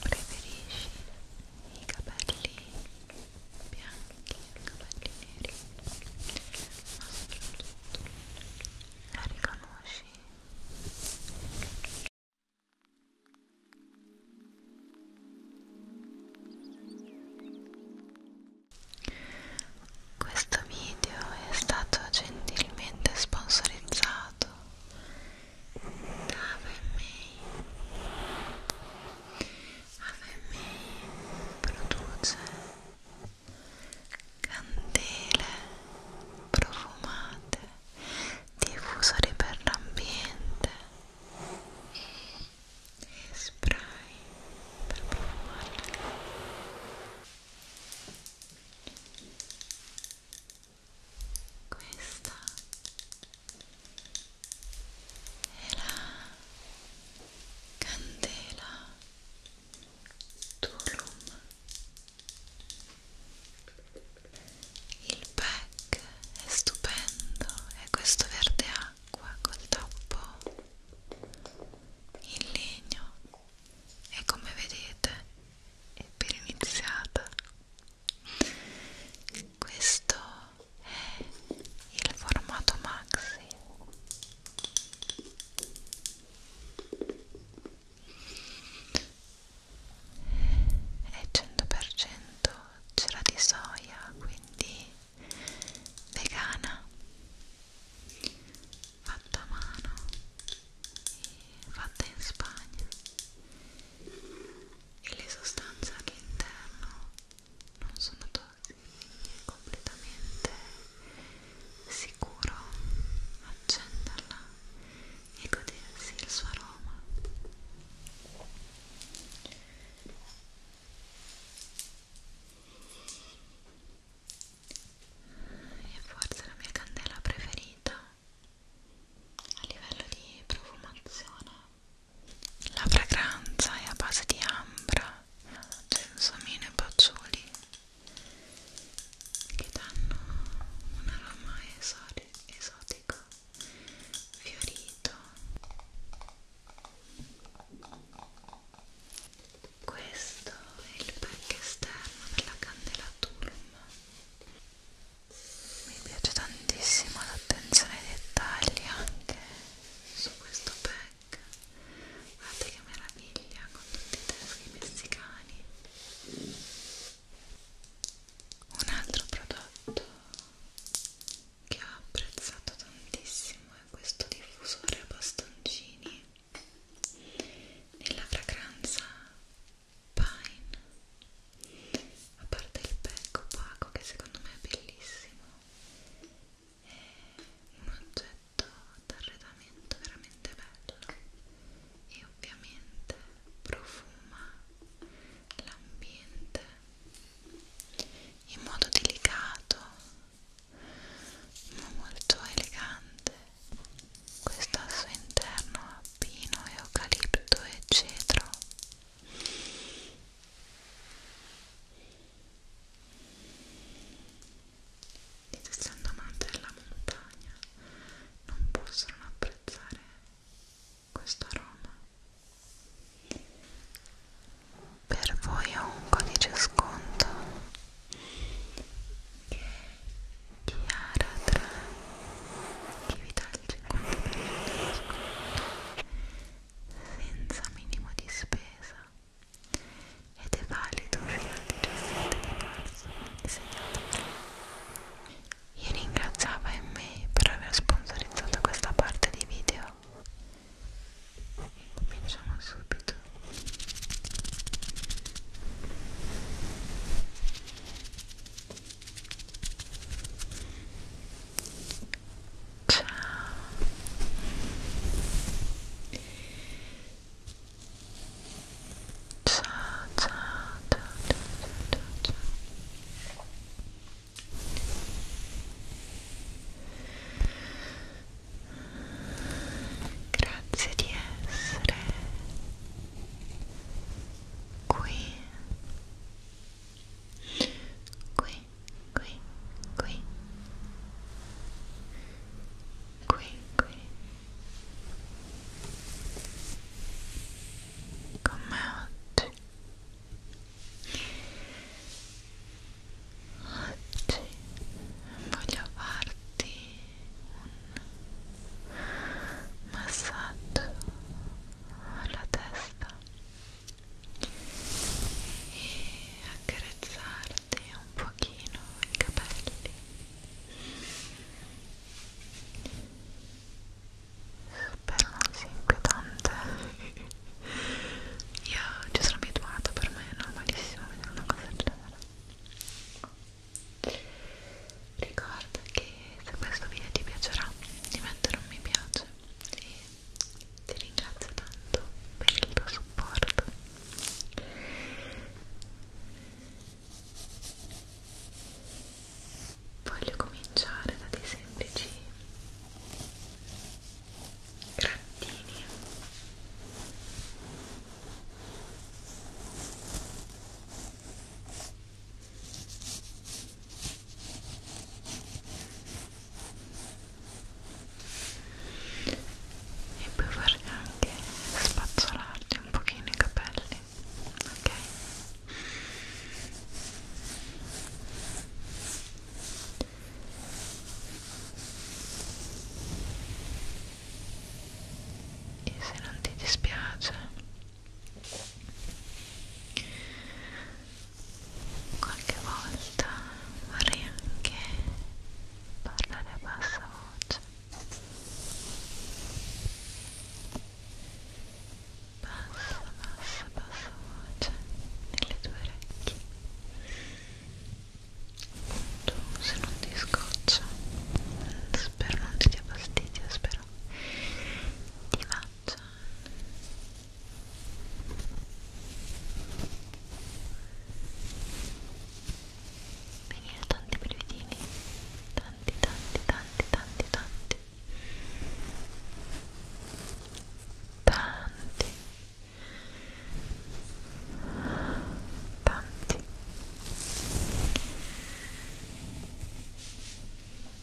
Preferisci i capelli bianchi o i capelli neri? Ma soprattutto la riconosci? Questo video è stato gentilmente sponsorizzato AVM produce candele profumate diffusori per l'ambiente e spray per profumarle questa è la candela Tulum il pack è stupendo è questo verde acqua col toppo in legno e come vedete è per iniziata questo è il formato maxi è 100% cera di soia quindi vegana fatta a mano e fatta in Spagna e le sostanze all'interno non sono tossiche, è completamente sicuro accenderla e godersi il suo aroma. E forse la mia candela preferita a livello di profumazione la fragranza è a base di ambra, gelsomino e patchouli che danno un aroma esotico, fiorito questo è il pack esterno della candela Tulum mi piace tantissimo l'attenzione ai dettagli anche su questo pack guardate che meraviglia con tutti i teschi messicani un altro prodotto che ho apprezzato tantissimo è questo diffusore a bastoncini nella fragranza Pine a parte il pack opaco che secondo me è bellissimo è un oggetto d'arredamento veramente bello e ovviamente profuma l'ambiente in modo delicato ma molto elegante questo al suo interno ha pino, eucalipto e cedro essendo amante della montagna non posso non apprezzare questo aroma per voi ho un codice sconto che è Chiara tra chi vi dà senza minimo di spesa ed è valido fino al 17 di marzo io ringraziavo me per aver sponsorizzato questa parte di video e cominciamo subito Ciao. Ciao, ciao, ciao, ciao, ciao, ciao. Grazie di essere qui qui, qui, qui, qui, qui, come oggi, oggi voglio farti un massaggio alla testa e accarezzarti un pochino i capelli spero non sia inquietante io ci sono abituata per me è normalissimo vedere una cosa del genere ricorda che se questo video ti piacerà di mettere un mi piace e ti ringrazio tanto per il tuo supporto voglio cominciare da dei semplici grattini e e puoi farli anche spazzolarti un pochino i capelli ok e se non ti dispiace qualche volta vorrei anche parlare a bassa voce bassa, bassa, bassa voce nelle tue orecchie appunto se non ti scoccia spero non ti dia fastidio spero ti faccia venire tanti brividini tanti tanti tanti tanti tanti tanti tanti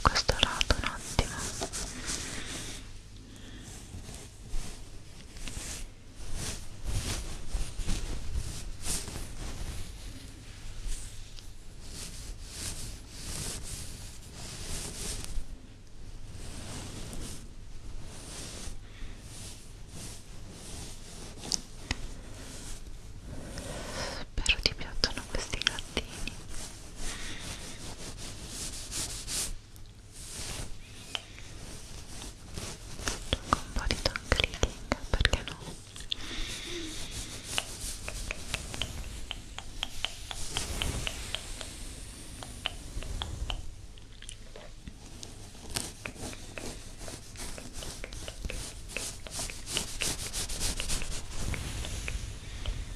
questo lato no, attimo Spero ti piacciono questi gattini con un po' di tongue clicking perché no? Ecco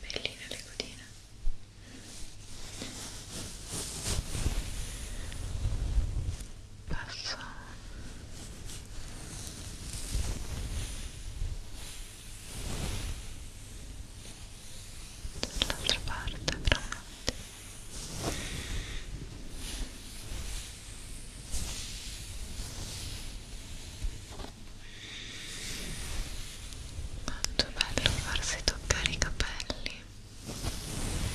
belline le codine passo dall'altra parte veramente Tanto bello farsi toccare i capelli. Ecco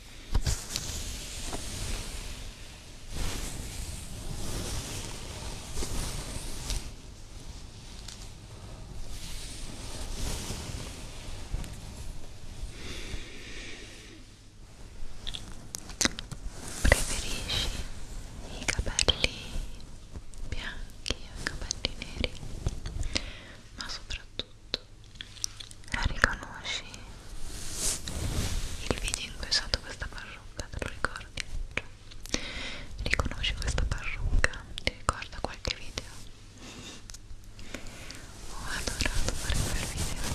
Preferisci i capelli bianchi o i capelli neri? Ma soprattutto riconosci il video in cui è usato questa parrucca, te lo ricordi? Cioè, riconosci questa parrucca, ti ricorda qualche video? Ho adorato fare quel video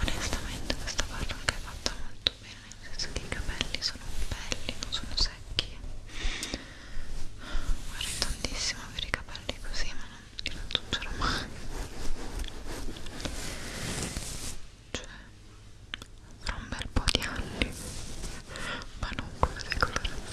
Onestamente questa parrucca è fatta molto bene, nel senso che i capelli sono belli, non sono secchi. Vorrei tantissimo avere i capelli così, ma non li raggiungerò mai cioè tra un bel po' di anni ma non come decorazione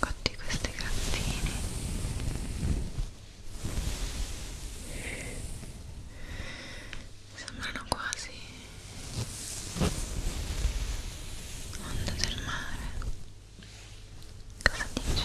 cotti questi grattini sembrano quasi onde del mare cosa dici?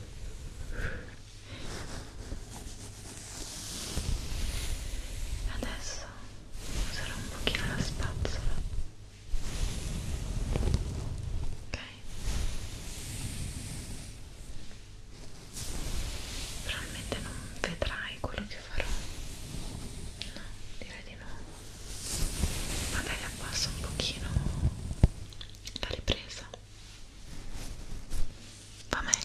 Adesso userò un pochino la spazzola. Ok. Probabilmente non vedrai quello che farò. No, direi di no. Magari abbasso un pochino la ripresa va meglio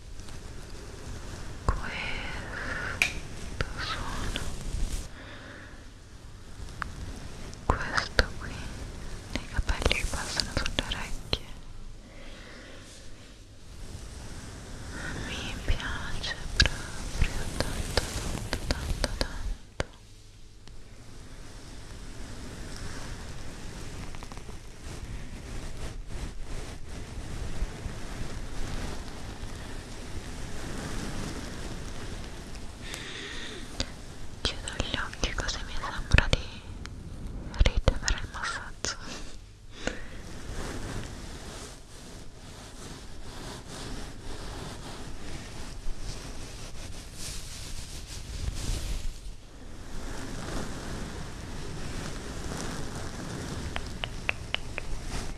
questo suono questo qui dei capelli che passano sulle orecchie mi piace proprio tanto tanto tanto tanto chiudo gli occhi così mi sembra di ricevere il massaggio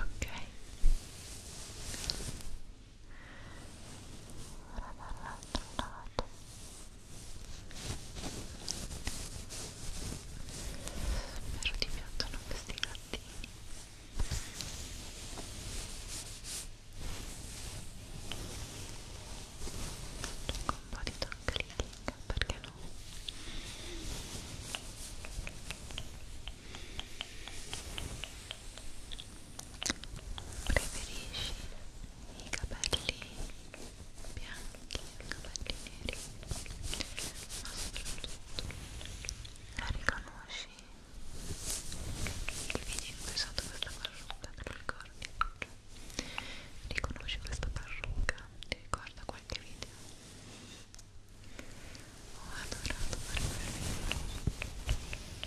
Ok. Ora dall'altro lato. Spero ti piacciono questi gattini un po' di tongue clicking perché no? preferisci i capelli bianchi i capelli neri ma soprattutto la riconosci? che vedi qui sotto questa parrucca te la ricordi? riconosci questa parrucca? ti ricorda qualche video? ho adorato per Ecco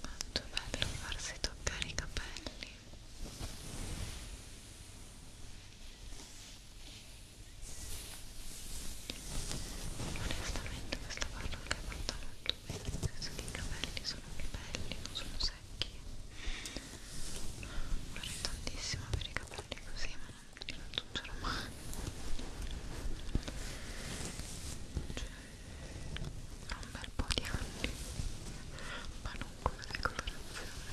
Quanto bello farsi toccare i capelli. Onestamente questa barra che hai fatto molto bene, nel senso che i capelli sono belli, non sono secchi. Vorrei tantissimo avere i capelli così, ma tutto normale cioè da un bel po' di anni ma non come decorazione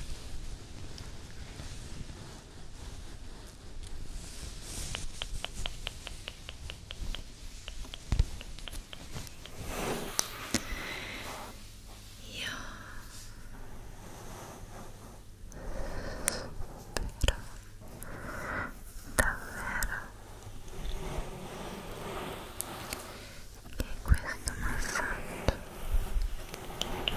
io davvero che questo massaggio ti sia piaciuto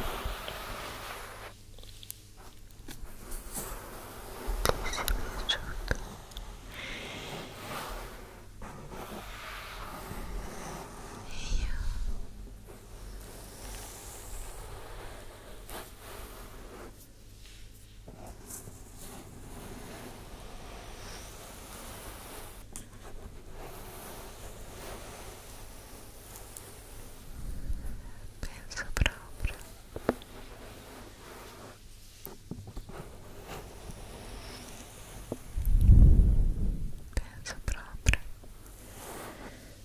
e io Penso proprio Penso proprio